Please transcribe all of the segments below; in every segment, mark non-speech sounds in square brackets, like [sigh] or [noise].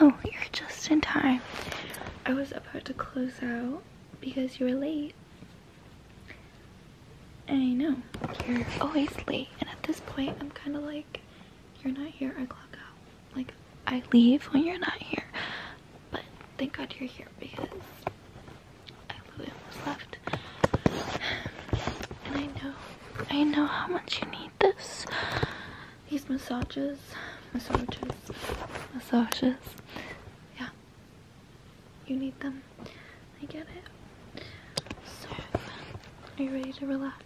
Oh, you're just in time. I was about to close out because you were late. I know, you're always late. And at this point, I'm kind of like, you're not here, I clock out. Like, I leave when you're not here. But thank God you're here because I literally almost left. [sighs] And I know, I know how much you need this. These massages, massages, massages. Yeah, you need them. I get it. So, are you ready to relax?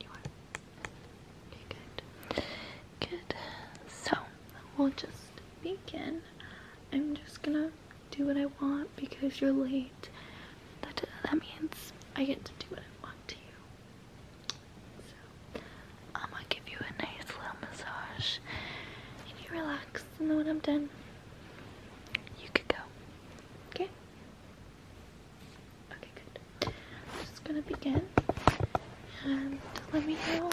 You are. Okay, good. Good. So, we'll just begin. I'm just gonna do what I want because you're late. That, that means I get to do what I want to you. So, I'm gonna give you a nice little massage If you relax and then when I'm done, you could go. Okay? Okay, good. I'm just gonna begin and let me know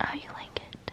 how you like it.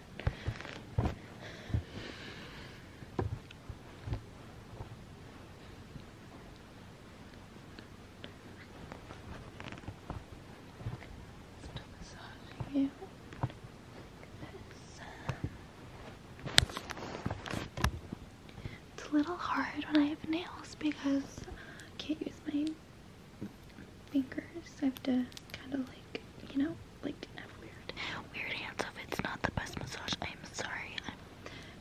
Just massaging you It's a little hard when I have nails because I can't use my fingers. I have to kind of like, you know, like have weird, weird hands. If it's not the best massage, I'm sorry. I'm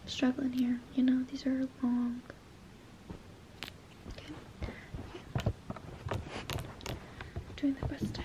struggling here. You know, these are long. Okay. Doing the best I can.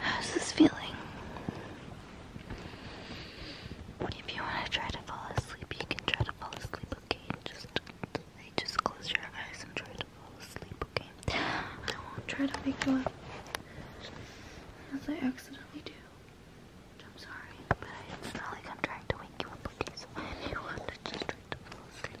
How's this feeling? If you want to try to fall asleep, you can try to just, close your eyes and try to fall asleep, okay? I won't try to wake you up, as I accidentally do. I'm sorry, but it's not like I'm trying to wake you up, okay? So if you want just try to fall asleep,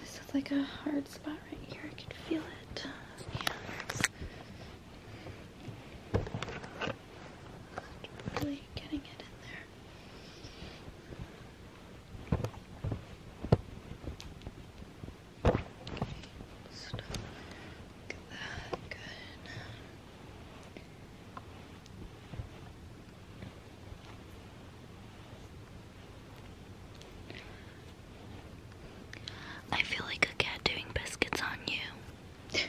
This is like a hard spot right here. I can feel it. Really getting it in there. I feel like a cat doing biscuits on you. [laughs]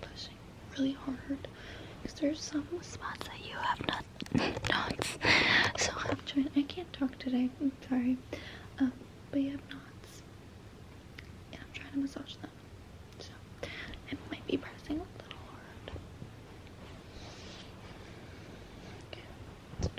Pushing really hard because there's some spots that you have not not So i can't talk today. I'm sorry. Um, but you have knots, and I'm trying to massage them. So I might be pressing a little hard. Okay.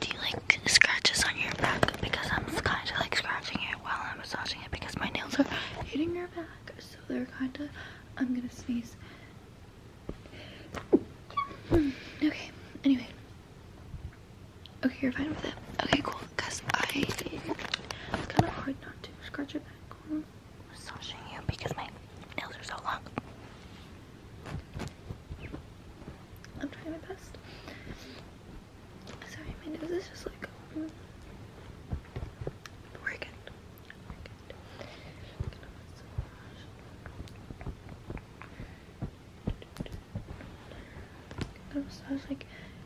Do you like scratches on your back? Because I'm kind of like scratching it while I'm massaging it because my nails are hitting your back. So they're kind of. I'm gonna sneeze. Hmm, okay, anyway. Okay, you're fine with it. Okay, cool. Because I, it's kind of hard not to scratch your back. I'm massaging you because my nails are so long. I'm trying my best. Sorry, my nose is just like, mm. we're good. We're good. I'm gonna massage. I'm gonna massage like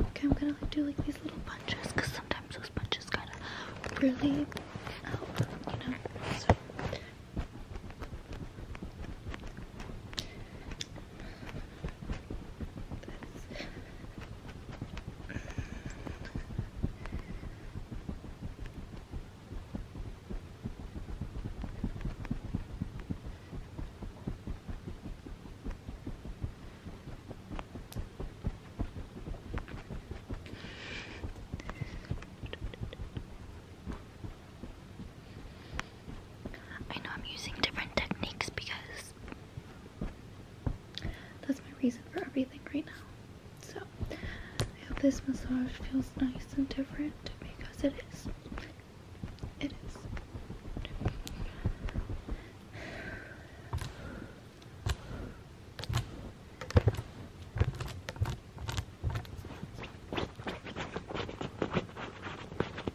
Okay, I'm gonna do like these little punches because sometimes those punches kind of really out, you know this. I know I'm using different techniques because that's my reason for everything right now. So, I hope this massage feels nice and different because it is. It is.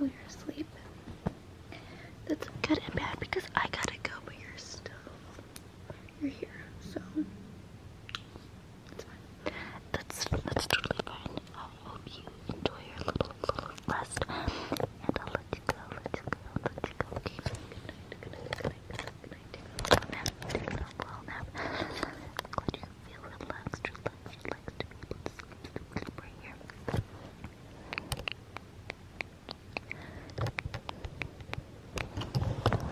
Oh, are asleep. That's good and bad because I gotta go, but you're still you're here, so That's that's totally fine. I hope you enjoy your little, little rest, and I'll let you go. Let you go. Let you go. Okay. So good night. Good night. Good night. Good night. Take a little nap. Take a little